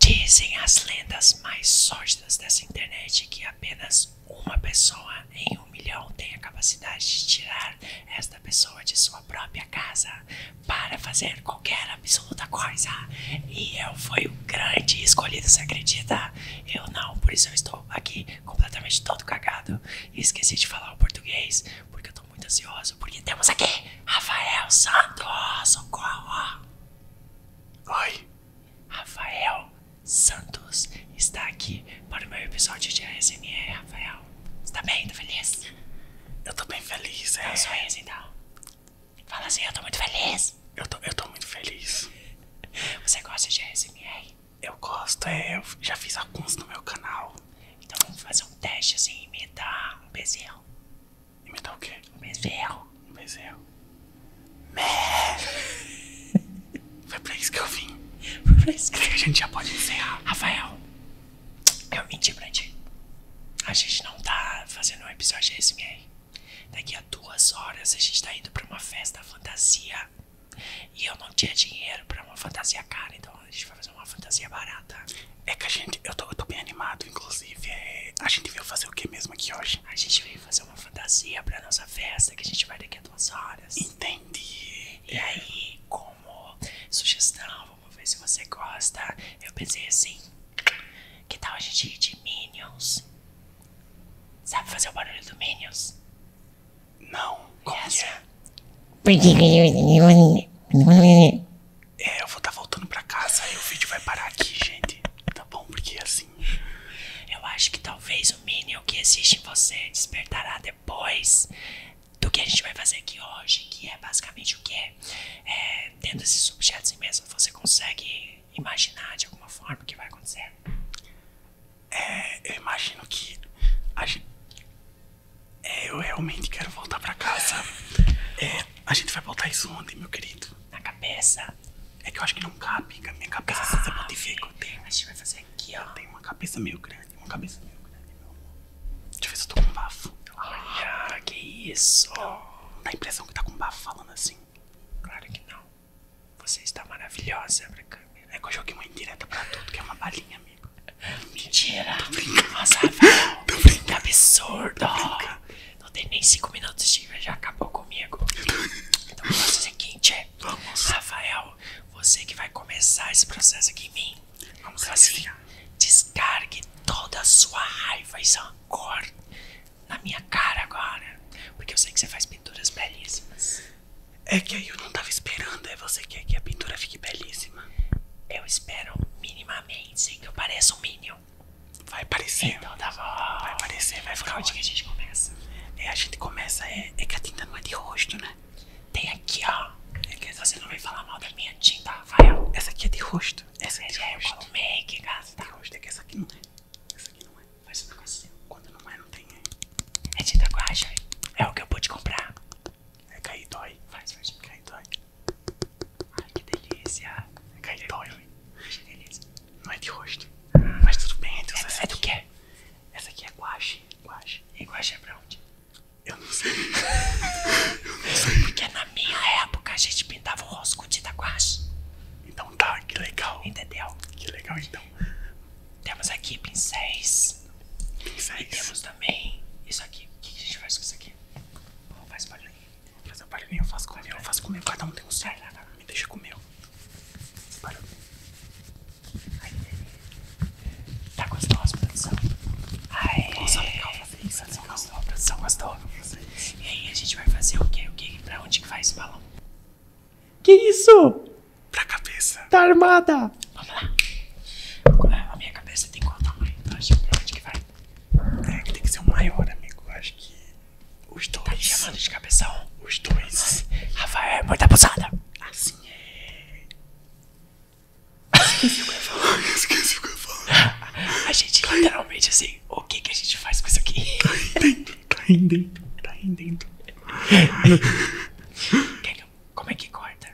Dizem as lendas mais sórdidas dessa internet que apenas uma pessoa em um milhão tem a capacidade de tirar esta pessoa de sua própria casa para fazer qualquer absoluta coisa. E eu fui o grande escolhido, você acredita? Eu não, por isso eu estou aqui completamente todo cagado e esqueci de falar o português porque eu estou muito ansioso porque temos aqui Rafael Santos, socorro! Oi, Rafael Santos está aqui para o meu episódio de ASMR, Rafael. Está tá bem? feliz? Eu estou bem feliz, é. Dá um é. sorriso então. Fala assim, eu estou muito feliz. Eu estou, eu tô muito feliz. Você gosta de ASMR? Eu gosto, é. Eu já fiz alguns no meu canal. Então vamos fazer um teste assim, me imitar um bezerro. Imitar o quê? Bezerro. Bezerro. Mé. Foi pra isso que eu vim. Foi pra isso que a gente já pode encerrar. Rafael, eu menti pra ti. A gente não tá fazendo um episódio de ASMR. Daqui a duas horas a gente tá indo pra uma festa fantasia. E eu não tinha dinheiro pra uma fantasia cara, então a gente vai fazer uma fantasia barata. É que a gente. Eu tô, bem animado, inclusive. É, a gente veio fazer o que mesmo aqui hoje? A gente veio fazer uma fantasia pra nossa festa, que a gente vai daqui a duas horas. Entendi. E é. aí, como sugestão, vamos ver se você gosta. Eu pensei assim: que tal a gente ir de Minions? Sabe fazer o barulho do Minions? Não. Como yes. é? É, eu vou estar tá voltando pra casa e o vídeo vai parar aqui, gente. Tá bom? Porque assim. Eu acho que talvez o Minion que existe em você despertará depois do que a gente vai fazer aqui hoje, que é basicamente o que? É, dentro desses objetos imensos, você consegue imaginar de alguma forma o que vai acontecer? É, eu imagino que a gente. É, eu realmente quero voltar pra casa. É, a gente vai botar isso onde, meu querido? Na cabeça. É que eu acho que não cabe. Minha cabeça ah, se sabotifica. A gente vai fazer aqui, ó. Eu tenho uma cabeça meio grande, uma cabeça meio grande, meu amor. Deixa eu ver se eu tô com bafo. Olha, que isso. Não dá a impressão que tá com bafo falando assim. Claro que não. Você está maravilhosa pra câmera. É que eu joguei uma indireta pra tudo, que é uma balinha, amigo. Mentira. Tô brincando. Nossa, Tô Que absurdo. Não tem nem 5 minutos de já acabou comigo. Então vamos fazer o seguinte. É, vamos. Rafael, você que vai começar esse processo aqui em mim. Vamos fazer. assim, descargue toda a sua raiva e rancor na minha cara agora. Porque eu sei que você faz pinturas belíssimas. É que aí eu não tava esperando, é você quer é, que a pintura fique belíssima. Eu espero minimamente que eu pareça um Vai aparecer. Então tá bom. Vai aparecer, vai ficar. Por onde que a gente começa? É, a gente começa. É, é que a tinta não é de rosto, né? Tem aqui, ó. É que você não vai falar mal da minha tinta, Rafael. Essa aqui é de rosto. Essa é de é, rosto. Eu make, gasta. É de rosto é que essa aqui não é. Essa aqui não é. Faz uma coisa assim. Quando não é, não tem. Né? É tinta guaja. É o que eu pude comprar. É cair dói. Faz, faz. Cair dói. Ai que delícia. É cartório. Que delícia. Não é de rosto. Hum. Mas tudo bem, é, é, é do que? Essa aqui é guache. Guache. E guache é pra onde? Eu não sei. Eu não sei. Porque na minha época a gente pintava o com da guache. Então tá, que legal. Entendeu? Que legal então. Temos aqui pincéis. Pincéis. E temos também isso aqui. O que a gente faz com isso aqui? Não faz barulhinho. Não faz barulhinho, eu faço com faço com Cada um tem um certo. lá, me deixa comer. Esse barulho. Ai, tá gostosa a produção? Ai, fazer isso. Tá legal. Né? Gostou, a produção gostou. E aí a gente vai fazer o quê? O quê? Pra onde que vai esse balão? Que isso? Pra cabeça. Tá armada. Vamos lá. A minha cabeça tem qual tamanho? Então, pra onde que vai? É tem que ser o maior, amigo. acho que. Os tá dois. chamando de cabeção. Os dois. Rafael é muito abusada. Assim é. Esqueci o que eu ia falar. Esqueci o que eu ia falar. A gente tá literalmente assim. O que, que a gente faz com isso aqui? Tá rendendo, tá rendendo, tá rendendo. Como é que corta?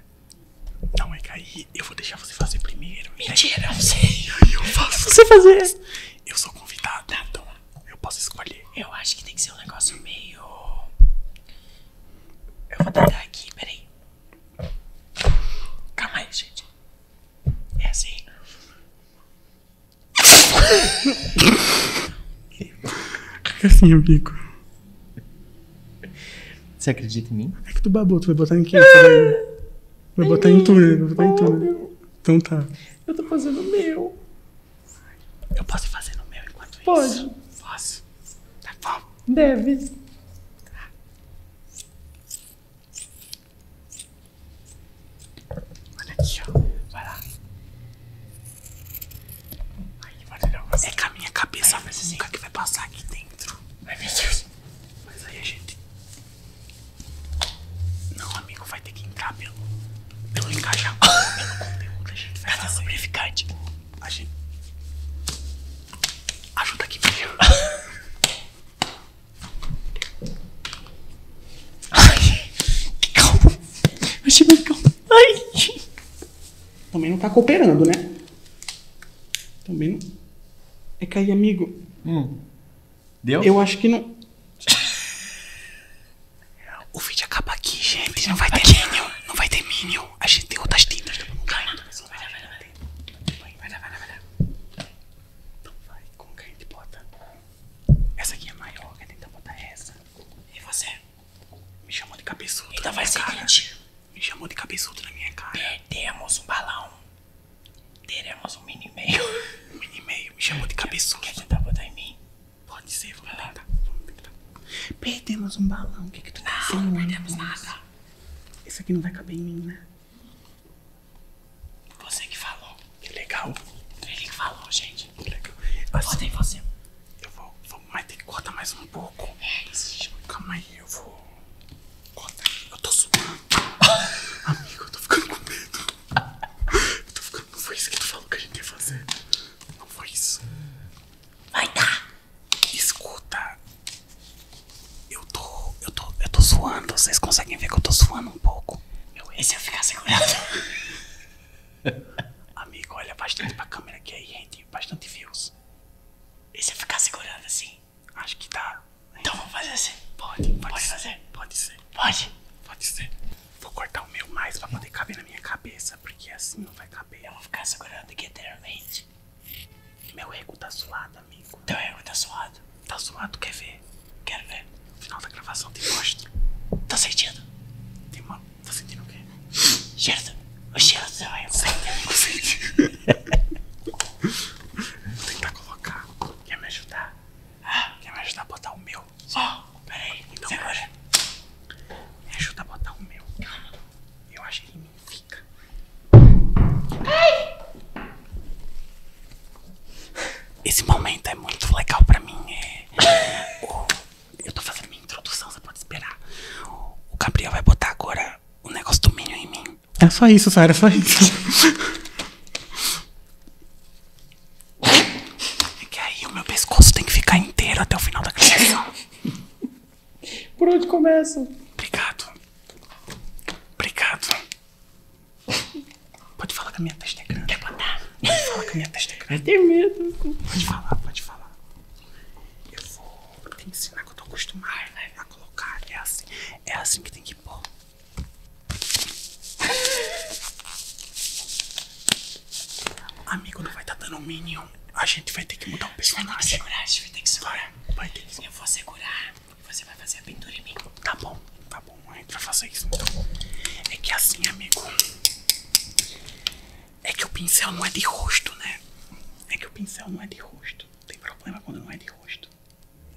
Não, é que aí eu vou deixar você fazer primeiro. Mentira, eu sei. eu faço. É você fazer. Eu sou convidada, então eu posso escolher. Eu acho que tem que ser um negócio meio. Eu vou dar aqui, peraí. Calma aí, gente. É assim. É assim, amigo. Você acredita em mim? É que tu babou, tu vai botar em quem? Vai botar em túnel, Vai botar em tu, Então tá. Eu tô fazendo meu. Eu posso fazer no meu enquanto Pode. isso? Pode. Posso. Tá bom. Deve. Olha aqui, ó. Vai lá. Aí, vai É que a minha cabeça vai assim, nunca que vai passar aqui dentro. Ai, meu Deus. Mas aí a gente. Não, amigo, vai ter que entrar pelo. pelo encaixar pelo conteúdo. A gente vai. Cadê o lubrificante? A gente. Ajuda aqui primeiro. Ai, calma. Achei mais calma. Ai também não tá cooperando, né? Também não. É que amigo. Hum. Deu? Eu acho que não. o vídeo acaba aqui, gente. Não vai ter Minion. Não vai ter Minion. A gente tem outras tintas. Não Vai lá, vai lá, Então vai. Como que a gente bota? Essa aqui é maior. A gente botar essa. E você? Me chamou de cabeçudo. Então vai ser me chamou de cabeçudo na minha cara. Perdemos um balão. Teremos um mini e-mail. Um mini e-mail. Me chamou de cabeçudo. Quer tentar botar em mim? Pode ser, vamos tentar. Vamos tentar. Perdemos um balão. O que que tu tá Não, não perdemos nada. Esse aqui não vai caber em mim, né? Você que falou. Que legal. Ele que falou, gente. Que legal. Assim, você. Eu vou, vou mas tem que cortar mais um pouco. É Calma aí, eu vou. Corta Eu tô suando. Amigo, eu tô ficando com medo. Eu tô ficando. Não foi isso que tu falou que a gente ia fazer. Não foi isso. Vai dar! Escuta. Eu tô. Eu tô. Eu tô suando. Vocês conseguem ver que eu tô suando um pouco. Meu, esse eu ficar segurando. Amigo, olha bastante pra câmera aqui, aí rende bastante views mãos. E você ficar segurando assim? Acho que dá. Então vamos fazer assim. Pode, pode, ser, fazer. Pode ser. Pode? Pode ser. Vou cortar o meu mais pra poder caber na minha cabeça, porque assim não vai caber. Eu vou ficar segurando aqui eternamente. Meu ego tá suado, amigo. Teu ego tá suado? Tá suado, quer ver? Quero ver. No final da gravação te mostro. Tá sentindo? Tem uma... Tá sentindo o quê? Certo. Certo. Consente. Vou tentar colocar. Quer me ajudar? Ah. quer me ajudar a botar o meu? Ó, oh, ah. peraí. Então, Segura. Me ajuda a botar o meu. Calma. Eu acho que ele me fica. Ai! Esse momento é muito legal pra mim. É. eu tô fazendo minha introdução, você pode esperar. O Gabriel vai botar agora o negócio do Minion em mim. É só isso, Sara, é só isso. é que aí o meu pescoço tem que ficar inteiro até o final da gravação. Por onde começa? Obrigado. Obrigado. Pode falar que a minha testa Quer botar? Pode falar que a minha testa vai ter medo. Pode falar, pode falar. Eu vou te ensinar que eu tô acostumada né, a colocar. É assim, é assim que tem que pôr. Amigo, não vai estar tá dando um minion. A gente vai ter que mudar o personagem. Vai ter que segurar, vai ter que segurar. Vai, vai ter que segurar. Eu vou segurar você vai fazer a pintura em mim. Tá bom, tá bom. A gente vai fazer isso então. É que assim, amigo. É que o pincel não é de rosto, né? É que o pincel não é de rosto. Tem problema quando não é de rosto.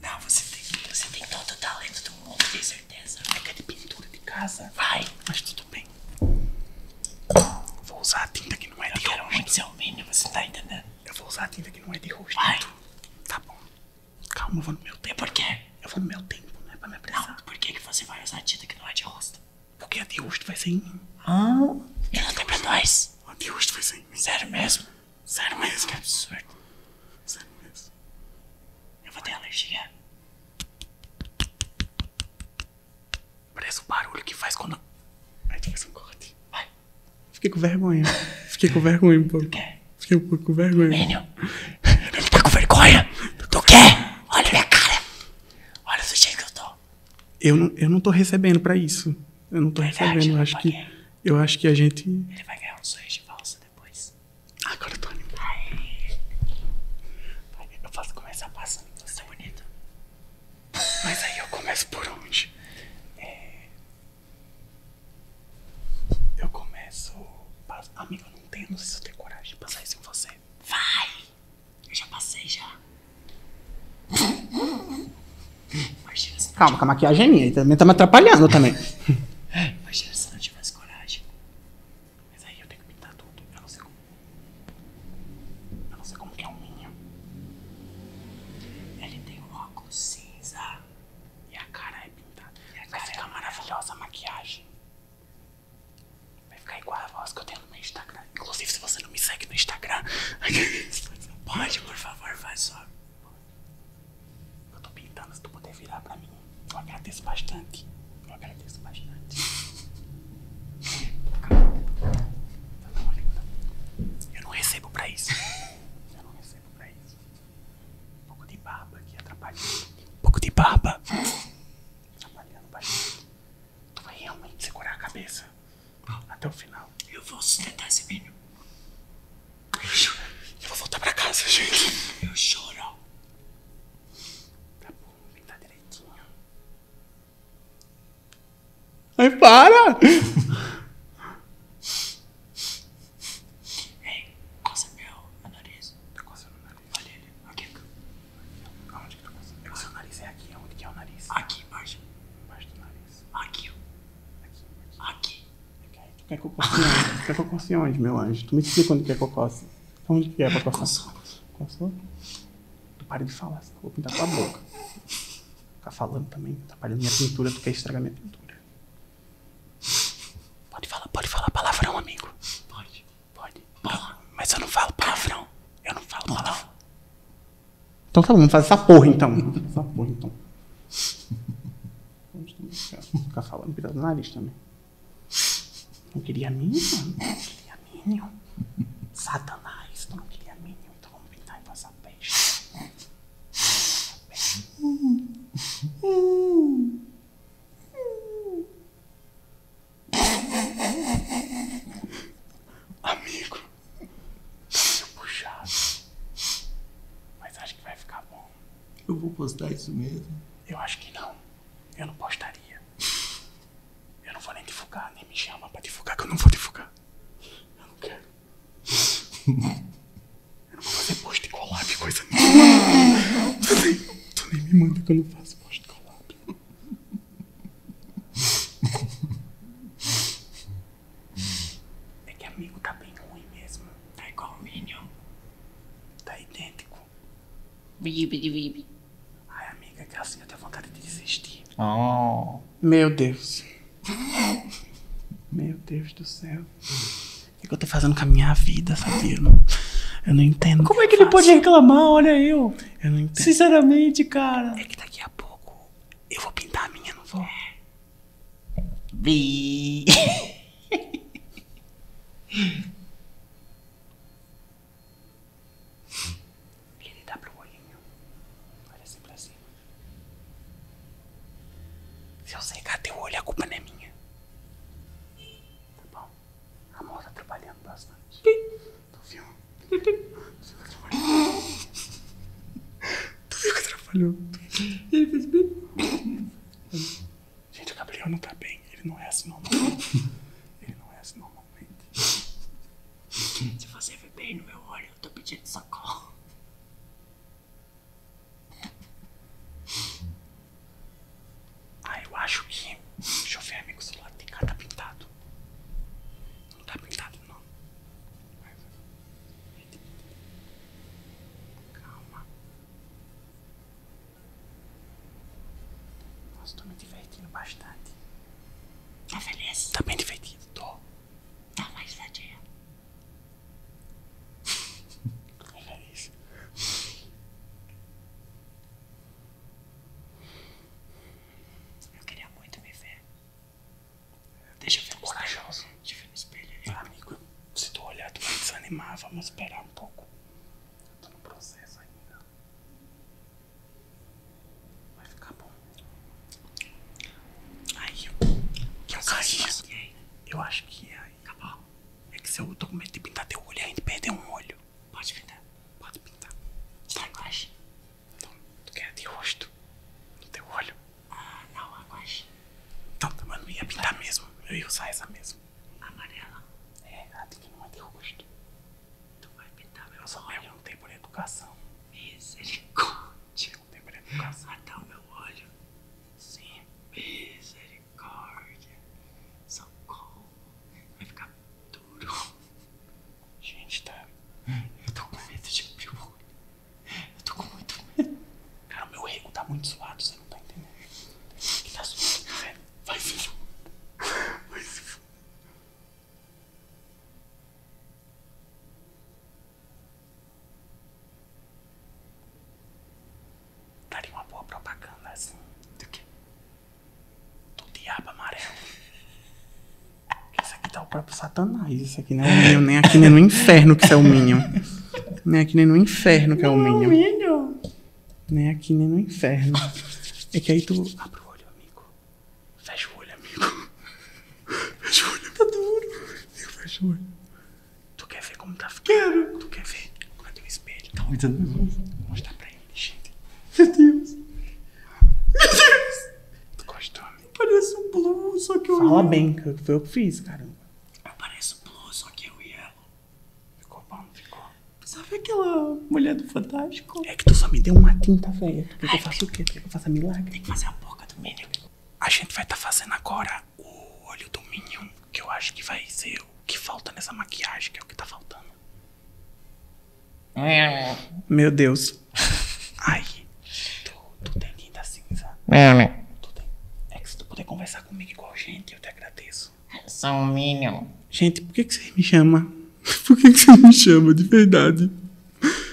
Não, você tem, você tem todo o talento do mundo, tenho certeza. É que é de pintura de casa. Vai. Mas tudo bem. Vou usar tinta que não é de rosto. Um pincel mínimo, você tá entendendo? Eu vou usar tinta que não é de rosto. Vai. Tá bom. Calma, eu vou no meu tempo. Por quê? Eu vou no meu tempo, né? Pra me apressar. Não, por que, que você vai usar tinta que não é de rosto? Porque a Diosto vai sem mim. Ah, ele não tem pra nós. A Diosto vai sem Sério mesmo? Sério mesmo? Que absurdo. Sério mesmo. Eu vou ter alergia. Parece o barulho que faz quando. Ai, tu faz um corte. Vai. Fiquei com vergonha. Fiquei com vergonha um pouco. Quer? Fiquei um pouco com vergonha. Menino. Ele tá com vergonha. Tu quer? Olha minha cara. Olha o jeito que eu tô eu não, eu não tô recebendo para isso. Eu não tô recebendo. Eu acho, que, eu acho que a gente. Ele vai ganhar um sonho de valsa depois. Agora eu tô animado. Ai, eu posso começar passando. Você é bonita. Mas aí eu começo por onde? É... Eu começo. Amigo, eu não tenho, não sei se eu tenho coragem de passar isso em você. Vai! Eu já passei, já. Imagina se não Calma, com a maquiagem é minha. também tá me atrapalhando também. Imagina se não tivesse coragem. Mas aí eu tenho que pintar tudo. Eu não sei como. Eu não sei como é o minho. Ele tem um óculos cinza. E a cara é pintada. E a é maravilhosa a maquiagem. Vai ficar igual a voz que eu tenho no meu Instagram. Inclusive, se você não me segue no Instagram, pode, por favor, faz só. Eu tô pintando, se tu puder virar pra mim. Eu agradeço bastante. Eu agradeço bastante. Eu não recebo pra isso. Eu não recebo pra isso. Um pouco de barba aqui atrapalhando. Um pouco de barba. Atrapalhando bastante. Tu vai realmente segurar a cabeça ah. até o final. Eu vou sustentar esse menino. Eu vou voltar pra casa, gente. Eu choro. Tá bom, tá direitinho. Ai, para! Ei, coça meu, meu nariz. Tá coçando meu Olha ele. Aqui. Aonde que tá passando? É o seu nariz é aqui. onde que é o nariz? Aqui embaixo. Embaixo do nariz. Aqui. Aqui. Aqui. aqui. Tu quer cocosse onde? tu quer cocosse onde, meu anjo? Tu me explica onde que é cocosse. Então, onde que é pra cocosse? Cocosse. Tu para de falar, senão eu vou pintar tua boca. Ficar falando também. tá parecendo minha pintura. Tu quer estragar minha pintura. Pode falar, pode falar palavra palavrão, amigo. Pode. Pode. Porra, mas eu não falo palavrão. Eu não falo palavrão. Então tá bom, faz essa porra então. Faz essa porra então. Ficar falando pelo nariz também. Não queria mínimo, não queria mínimo. Satanás, não queria mínimo, então vamos fazer pintar em passar peixe. Amigo, tá puxado. Mas acho que vai ficar bom. Eu vou postar isso mesmo? Eu acho que não. Eu não postaria. Eu não vou nem divulgar, nem me chama pra divulgar, que eu não vou divulgar. Eu não quero. eu não vou fazer post collab, coisa nenhuma. tu, nem, tu nem me manda que eu não faço post collab. É que amigo tá bem ruim mesmo. Tá igual o Minion. Tá idêntico. Vibe vibe. de Ai, amiga, que assim eu tenho vontade de desistir. Oh. Meu Deus. Meu Deus do céu. O que, eu tô fazendo com a minha vida, sabia? Eu não, entendo. Como é que ele pode reclamar? Olha eu. Sinceramente, cara. É que daqui a pouco eu vou pintar a minha, não vou? vi Ele dá pro olhinho. Olha assim pra cima. Se eu secar teu olho, a culpa não é minha. Tá bom? A mão tá trabalhando bastante. Tu viu? Tu viu que atrapalhou? Tu viu que atrapalhou? Ele fez bem. Gente, o Gabriel não tá bem. Ele não é assim normalmente. Ele não é assim normalmente. Se você ver bem no meu olho, eu tô pedindo socorro. Ah, eu acho que. Deixa eu ver, amigo, do lado tem cara tá pintado. Não tá pintado, não. Calma. Nossa, tô me divertindo bastante. Tá feliz? Tá bem divertido, tô. Tá mais vadia. Tá feliz? Eu queria muito me ver. Deixa eu ver corajoso. Tá Te ver no espelho ah, amigo, se tu olhar, tu tá vai desanimar. Vamos esperar um pouco. Eu tô no processo ainda. Vai ficar bom. Aí, eu, eu caí. Eu acho que é aí. É que se eu tô com medo de pintar teu olho, a gente perdeu um olho. Pode pintar. Pode pintar. Está guache? Não, tu quer de rosto? No teu olho? Ah, não, a guache. Então, mas não ia pintar mesmo. Eu ia usar essa mesmo. Amarela? É, ela tem que não é de rosto. Tu vai pintar meu eu olho? Eu não tenho por educação. Misericórdia. Eu não tenho por educação. Até o meu olho? Sim. Misericórdia misericórdia. Socorro. Vai ficar duro. Gente, tá. Eu tô com medo de abrir o olho. Eu tô com muito medo. Cara, o meu rego tá muito suado, você não tá entendendo. Tá né? Vai se Vai se Daria uma boa propaganda assim. Do que? do diabo amarelo. isso aqui tá o próprio Satanás. isso aqui não é o Minion, nem aqui nem no inferno que isso é o minho Nem aqui nem no inferno que é o é Minion. Minion. Nem aqui nem no inferno. É que aí tu. Abre o olho, amigo. Fecha o olho, amigo. Fecha o olho. Tá duro. fecho o olho. Tu quer ver como tá ficando? Tu quer ver? Cadê o espelho? Tá muito nervoso. Mostrar pra Gente, Meu Deus. Meu Deus. Tu gostou? Parece um blue, só que eu. Fala bem, foi o que eu fiz, caramba. Parece um blue, só que eu e ela. Ficou bom, ficou. Sabe aquela mulher do Fantástico? É que tu só me deu uma tinta, velho. Tu eu faço o quê? eu faço milagre? Tem que fazer a boca do Minion. A gente vai estar tá fazendo agora o olho do Minion que eu acho que vai ser o que falta nessa maquiagem, que é o que tá faltando. É. Meu Deus. Ai, tu, tem linda cinza. meu é, né? tem... É que se tu puder conversar comigo igual gente, eu te agradeço. São mínimo. Gente, por que, que você me chama? Por que, que você me chama de verdade?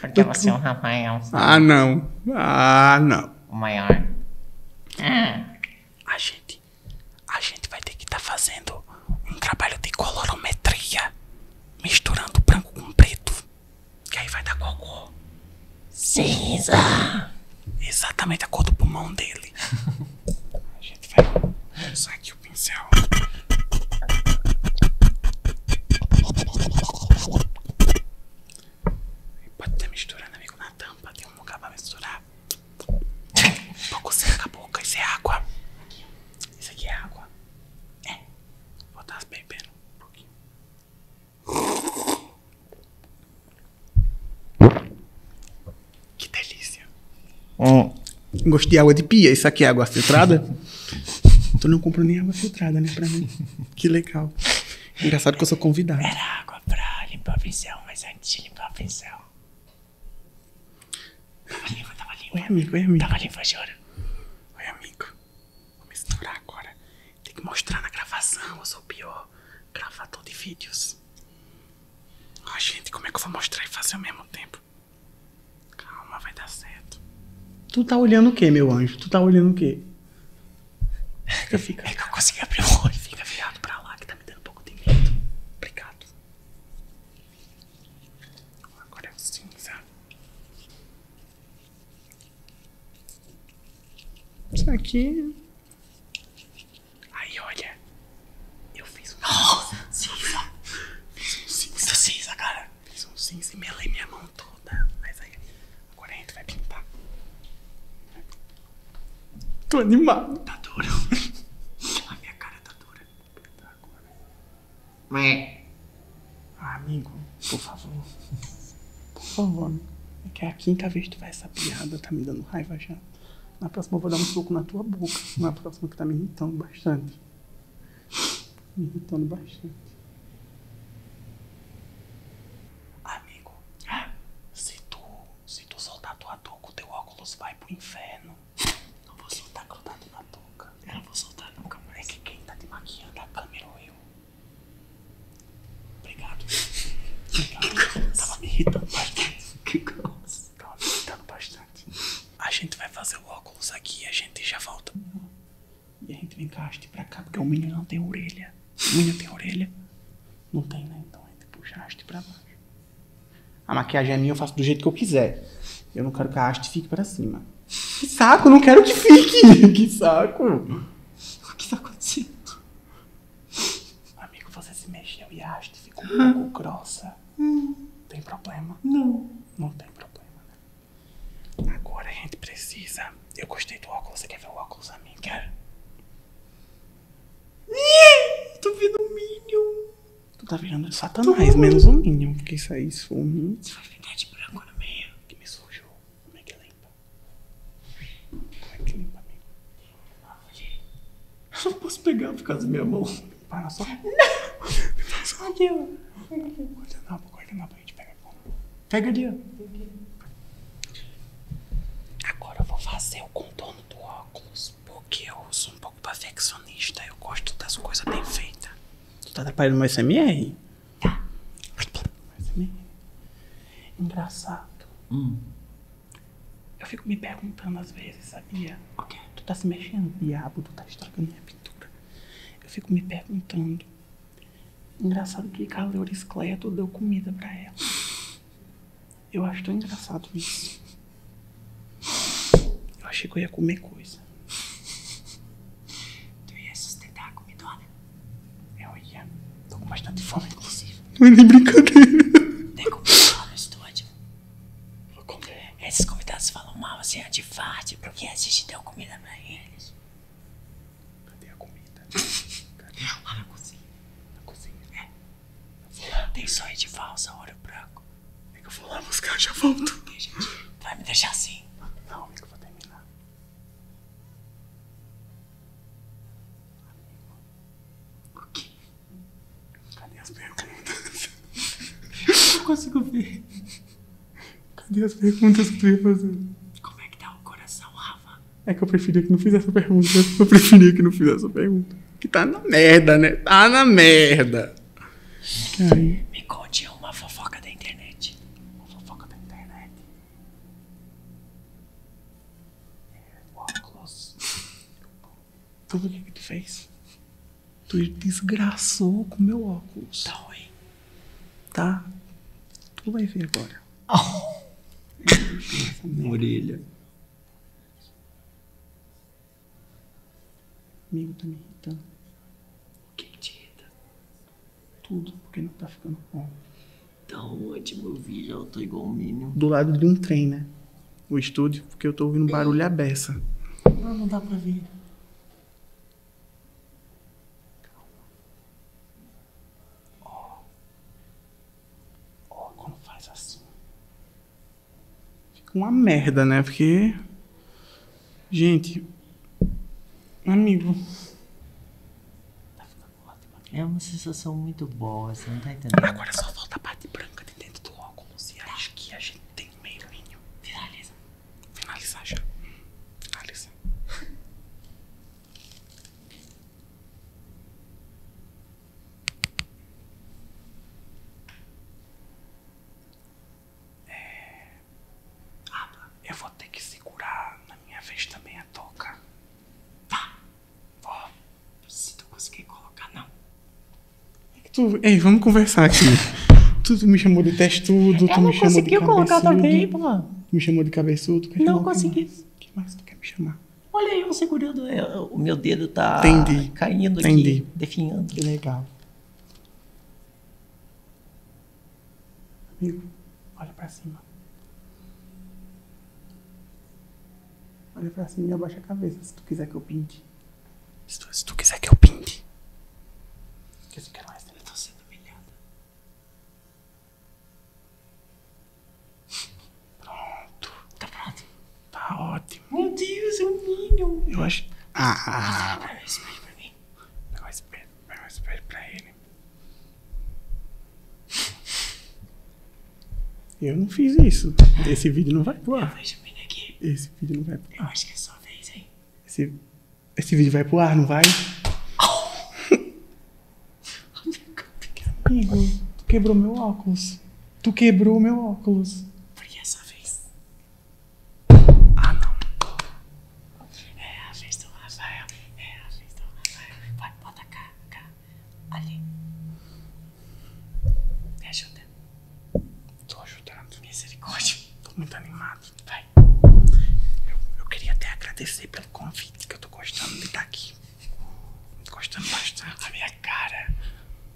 Porque você é um rapaz é Ah, não. Ah, não. O maior. Ah. A gente a gente vai ter que estar tá fazendo um trabalho de colorometria, misturando branco com preto, que aí vai dar qual cor? Cinza! Exatamente a cor do pulmão dele. a gente vai usar aqui o pincel. E pode estar misturando, amigo, na tampa. Tem um lugar pra misturar. Vou cozinhar com a boca. Isso é água. Isso aqui é água. É. Vou estar bebendo um pouquinho. Que delícia. Ó, hum. Gostei de água de pia. Isso aqui é água filtrada? tu não comprou nem água filtrada, né? Pra mim. Que legal. Engraçado que eu sou convidado. Era água pra limpar a pincel, mas antes de limpar a pincel, Tava limpo, tava limpo. Oi, amigo, oi, amigo. Tava limpo, jura? Oi, amigo. Vou misturar agora. Tem que mostrar na gravação. Eu sou o pior gravador de vídeos. Ó, gente, como é que eu vou mostrar e fazer ao mesmo tempo? Calma, vai dar certo. Tu tá olhando o que, meu anjo? Tu tá olhando o que? Fica, fica. É que eu consegui abrir o olho. Fica virado pra lá que tá me dando pouco de medo. Obrigado. Agora é o cinza. Isso aqui. Aí, olha. Eu fiz um cinza. Fiz um cinza. cara. Fiz um cinza e melei minha mão toda. Mas aí. Agora a gente vai pintar. Tô animado. Tá duro. A minha cara tá dura. Tá agora. Ué. Ah, amigo, por favor. Por favor. É que é a quinta vez que tu faz essa piada, tá me dando raiva já. Na próxima eu vou dar um soco na tua boca. Na próxima que tá me irritando bastante. Me irritando bastante. Amigo, se tu se tu soltar tua touca, o teu óculos vai pro inferno. Não vou soltar. a grudado na touca? Eu não vou soltar nunca É que quem tá de maquiando é a câmera ou eu. Obrigado. Obrigado. Tava me irritando bastante. Que grosso. Tava me irritando bastante. A gente vai fazer o óculos aqui e a gente já volta. E a gente vem cá, haste pra cá, porque o menino não tem orelha. O menino tem orelha. Não tem, né? Então aí puxa a haste pra baixo. A maquiagem é minha, eu faço do jeito que eu quiser. Eu não quero que a haste fique pra cima. Que saco, não quero que fique! Que saco! O que tá acontecendo? Amigo, você se mexeu e a haste ficou um pouco grossa. Hum. Tem problema? Não. Não tem problema, né? Agora a gente precisa. Eu gostei do óculos. Você quer ver o óculos a mim? quer? Tô vendo um Minion. Tu tá vendo virando é Satanás, menos um Minion. Porque isso aí, se for um Minion. Você vai ficar de branco no meio. Que me sujou. Como é que limpa? Como é que limpa, amigo? Eu não posso pegar por causa da minha mão. Para só. Não! Me não aqui, não Guardanapa, não a não pega. Pega ali, não Agora eu vou fazer o contorno do óculos, porque eu sou um pouco perfeccionista, eu gosto das coisas bem feitas. Tu tá atrapalhando meu SMR? Tá. Engraçado. Hum. Eu fico me perguntando às vezes, sabia? Tu tá se mexendo, diabo, tu tá estragando minha pintura. Eu fico me perguntando. Engraçado que Caleura Escleia tu deu comida pra ela. Eu acho tão engraçado isso. Eu achei que eu ia comer coisa. Tu ia sustentar a comida, comidona? Eu ia. Tô com bastante fome, inclusive. Não é nem brincadeira. Tem comidona no estúdio? Vou comer. Esses convidados falam mal, assim, antifarte, é porque a gente deu comida pra eles. Cadê a comida? Cadê? Lá na cozinha. Na cozinha? É. Tem sonho de valsa, olho branco. É que eu vou lá buscar, já volto. Deixa, vai me deixar assim? Não, amigo, eu vou terminar. Amigo. O quê? Cadê as perguntas? eu não consigo ver. Cadê as perguntas que tu ia fazer? Como é que tá o coração, Rafa? É que eu preferia que não fizesse a pergunta. Eu preferia que não fizesse a pergunta. Que tá na merda, né? Tá na merda. Me conte uma fofoca da internet. Uma fofoca da internet. É, óculos. Tudo o que, tu fez? Tu desgraçou com meu óculos. Tá ruim. Tá? Tu vai ver agora. Oh. Minha orelha. Amigo, tá me irritando. O que, que te irrita? Tudo, porque não tá ficando bom. Então ótimo, eu vi, já eu tô igual um mínimo. Do lado de um trem, né? O estúdio, porque eu tô ouvindo barulho aberto. Não, não dá pra ver. Calma. Ó. Ó, quando faz assim. Fica uma merda, né? Porque. Gente. Amigo. Tá é uma sensação muito boa, você não tá entendendo. Agora só falta a parte branca de dentro do óculos e tá. acho que a gente tem um meilinho. Finaliza. Finaliza já. Finaliza. É... Ah, eu vou ter que segurar na minha vez também a toca. Tá. Ó, se tu conseguir colocar, não. É que tu... Ei, vamos conversar aqui. tu, me chamou de testudo, tu me chamou de cabeçudo. não conseguiu colocar também, pô. Me chamou de cabeçudo. Não consegui. Mais? O que mais tu quer me chamar? Olha aí, eu segurando, é, o meu dedo tá caindo aqui, definhando. Que legal. Amigo, olha pra cima. Olha pra cima e abaixa a cabeça, se tu quiser que eu pinte. Se tu, quiser que eu pinte. Porque se quer mais, eu é tô sendo humilhada. Pronto. Tá pronto. Tá ótimo. Meu Deus, é um ninho. Eu acho. Ah. Espera, ah, ah. espera pra mim. Não, espera, não, espera pra ele. Eu não fiz isso. Esse vídeo não vai pro ar. Esse vídeo não vai pro ar. Eu acho que é só vez, hein? Esse, esse vídeo vai pro ar, não vai? Oh! Amigo, tu quebrou meu óculos. Tu quebrou meu óculos. Por essa vez? Ah, não. É a vez do Rafael. É a vez do Rafael. Vai, bota cá. Ali. Me ajuda. Tô ajudando. Misericórdia. Tô muito animado. Vai eu, queria até agradecer pelo convite, que eu tô gostando de estar tá aqui. Gostando bastante. A minha cara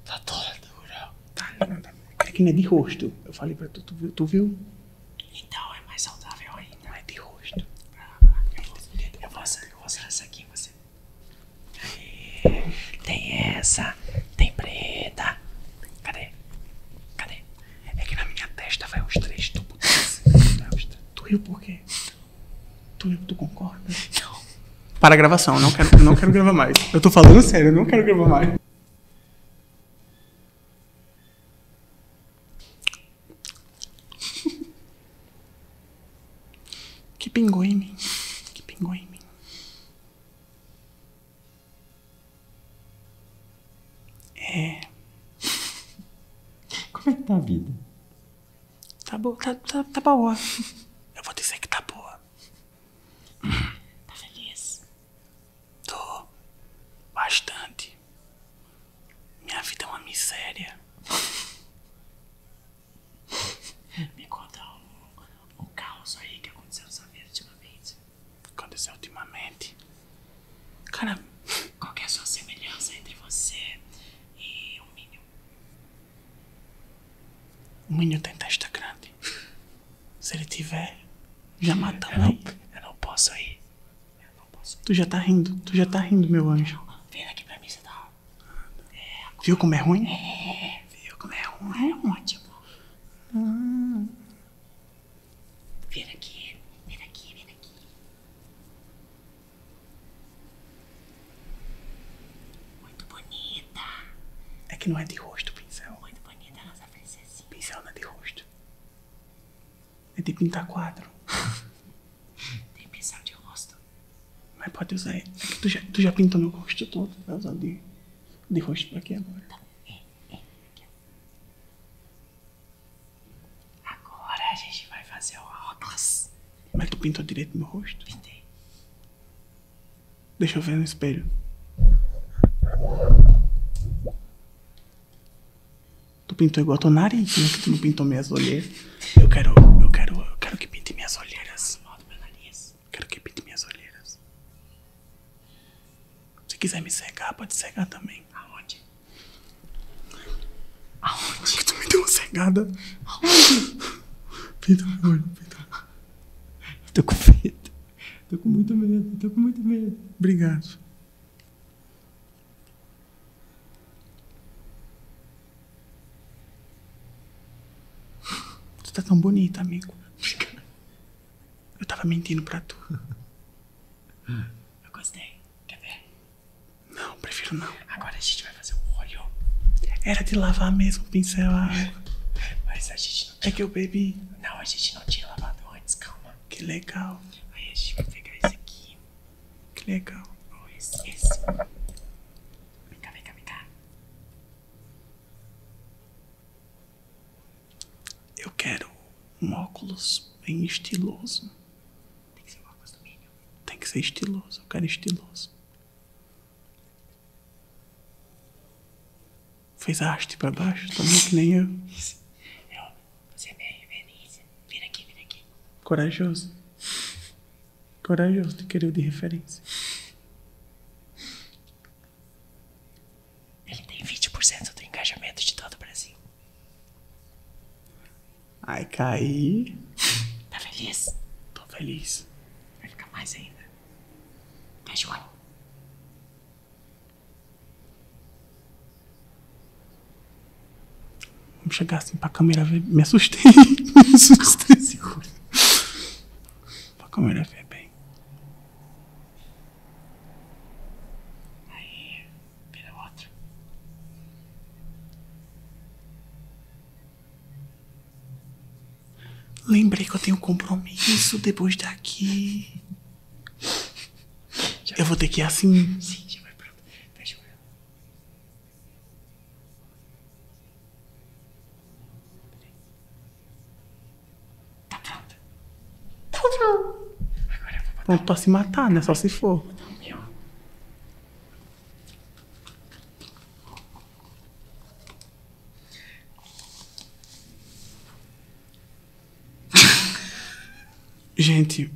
tá toda dura. Tá, nada. tá. que não é de rosto. Eu falei pra tu, tu viu? Então é mais saudável ainda. Não é de rosto. Ah, eu, vou, eu, eu vou usar essa aqui você. tem essa, tem preta. Cadê? Cadê? É que na minha testa vai uns três tubos. Tá? Tu riu por quê? Tu riu, tu concorda? Não. Para a gravação, não quero, não quero gravar mais. Eu tô falando sério, não quero gravar mais. Que pingou em mim. Que pingou em mim. É. Como é que tá a vida? Tá boa, tá, tá, tá boa. Eu vou dizer que tá boa. Tá feliz? Tô. Bastante. Minha vida é uma miséria. Me conta o, o caos aí que aconteceu na sua vida ultimamente. Aconteceu ultimamente? Cara, qual é a sua semelhança entre você e o Minho? O Minho tem testa grande. Se ele tiver, já matamos. Eu não, posso ir. Tu já tá rindo, tu já tá rindo, meu anjo. Vem aqui pra mim, você tá. É, viu como é ruim? É, viu como é, é ruim? É ótimo. Ah. Vem aqui, vem aqui, vem aqui. Muito bonita. É que não é de rosto o pincel. Muito bonita a nossa princesinha. Pincel não é de rosto. É de pintar quadro. Tem pincel de rosto. Mas pode usar. É que tu já, tu já pintou meu rosto todo. Vai tá? usar de, de rosto pra aqui agora. Tá. É, é, é aqui. Agora a gente vai fazer o óculos. Mas tu pintou direito meu rosto? Pintei. Deixa eu ver no espelho. Tu pintou igual a tua nariz, né? Que tu não pintou minhas olheiras. Eu quero, eu quero, quero que pinte minhas olheiras. Quero que pinte minhas olheiras. Se quiser me cegar, pode cegar também. Aonde? Aonde? tu me deu uma cegada. Aonde? Pinta meu olho, pinta. Tô com medo. Tô com muito medo, tô com muito medo. Obrigado. Tu tá tão bonita, amigo. Eu tava mentindo pra tu. Eu gostei. Quer ver? Não, prefiro não. Agora a gente vai fazer o olho. Era de lavar mesmo pincelar é. Mas a gente não tinha... É que eu bebi. Não, a gente não tinha lavado antes, calma. Que legal. Aí a gente vai pegar esse aqui. Que legal. esse, esse. Vem cá, vem cá, vem cá. Eu quero um óculos bem estiloso. Tem que ser um óculos do Minion. Tem que ser estiloso, eu quero estiloso. Fez a haste pra baixo também, tá que nem eu. É, você é minha referência. Vira aqui, vira aqui. Corajoso. Corajoso de querer de referência. Ele tem 20% do engajamento de todo o Brasil. Ai, caí. Tá feliz? Tô feliz. Vai ficar mais ainda. Fecha o olho. Vamos chegar assim pra câmera ver. Me assustei. Me assustei. Segura. Pra câmera ver bem. Aí vira outro. Lembrei que eu tenho compromisso depois daqui. eu vou ter que ir assim. Sim, já vai pronto. Fecha com ela. Tá pronto. Tá Agora vou botar. Pronto pra se matar, né? Só se for. Gente.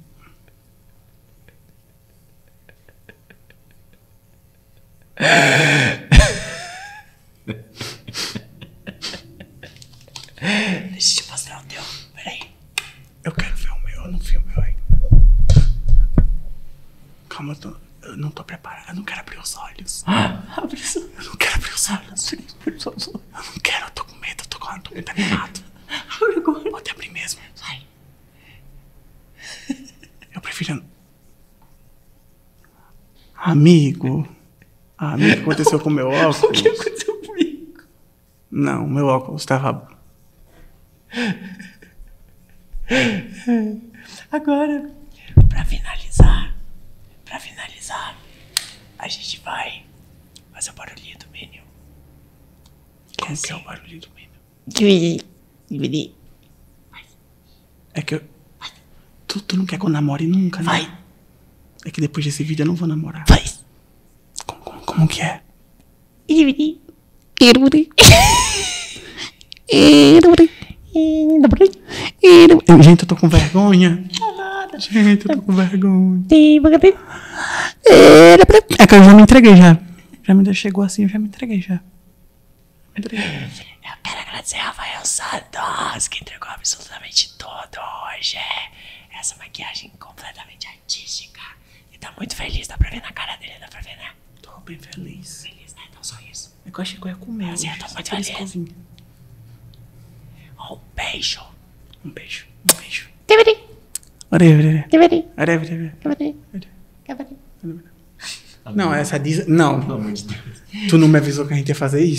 Deixa eu fazer mostrar o teu. Peraí. Eu quero ver o meu, eu não vi o meu ainda. Calma, eu, não tô preparada. Eu não quero abrir os olhos. Abre os olhos. Eu não quero abrir os olhos. Abre os olhos. Eu não quero, eu tô com medo, eu tô com medo, tá animado. Abre agora. Pode abrir mesmo. Vai. Eu prefiro. Amigo. Ah, o que aconteceu com o meu óculos? O que aconteceu comigo? Não, meu óculos estava. Agora, para finalizar, para finalizar, a gente vai fazer o barulhinho do menino. Como é que é o assim. barulhinho do menino? menu? É que eu. Tu, tu não quer que eu namore nunca, né? Vai. É que depois desse vídeo eu não vou namorar. Vai. Como, como, como que é? Gente, eu tô com vergonha. Gente, eu tô com vergonha. É que eu já me entreguei já. Já me deixou assim, eu já me entreguei já. Me entreguei. Eu quero agradecer a Rafael Sados que entregou absolutamente Toda hoje é Essa maquiagem completamente artística. E tá muito feliz, dá pra ver na cara dele, dá pra ver, né? Tô bem feliz. Feliz, né? Então só isso. É que eu achei que eu ia comer. Mas eu tô muito feliz. Um beijo. Um beijo. Um beijo. Tibiri. Tibiri. Tibiri. Tibiri. Tibiri. Não, essa diz. Não. Tu não me avisou que a gente ia fazer isso.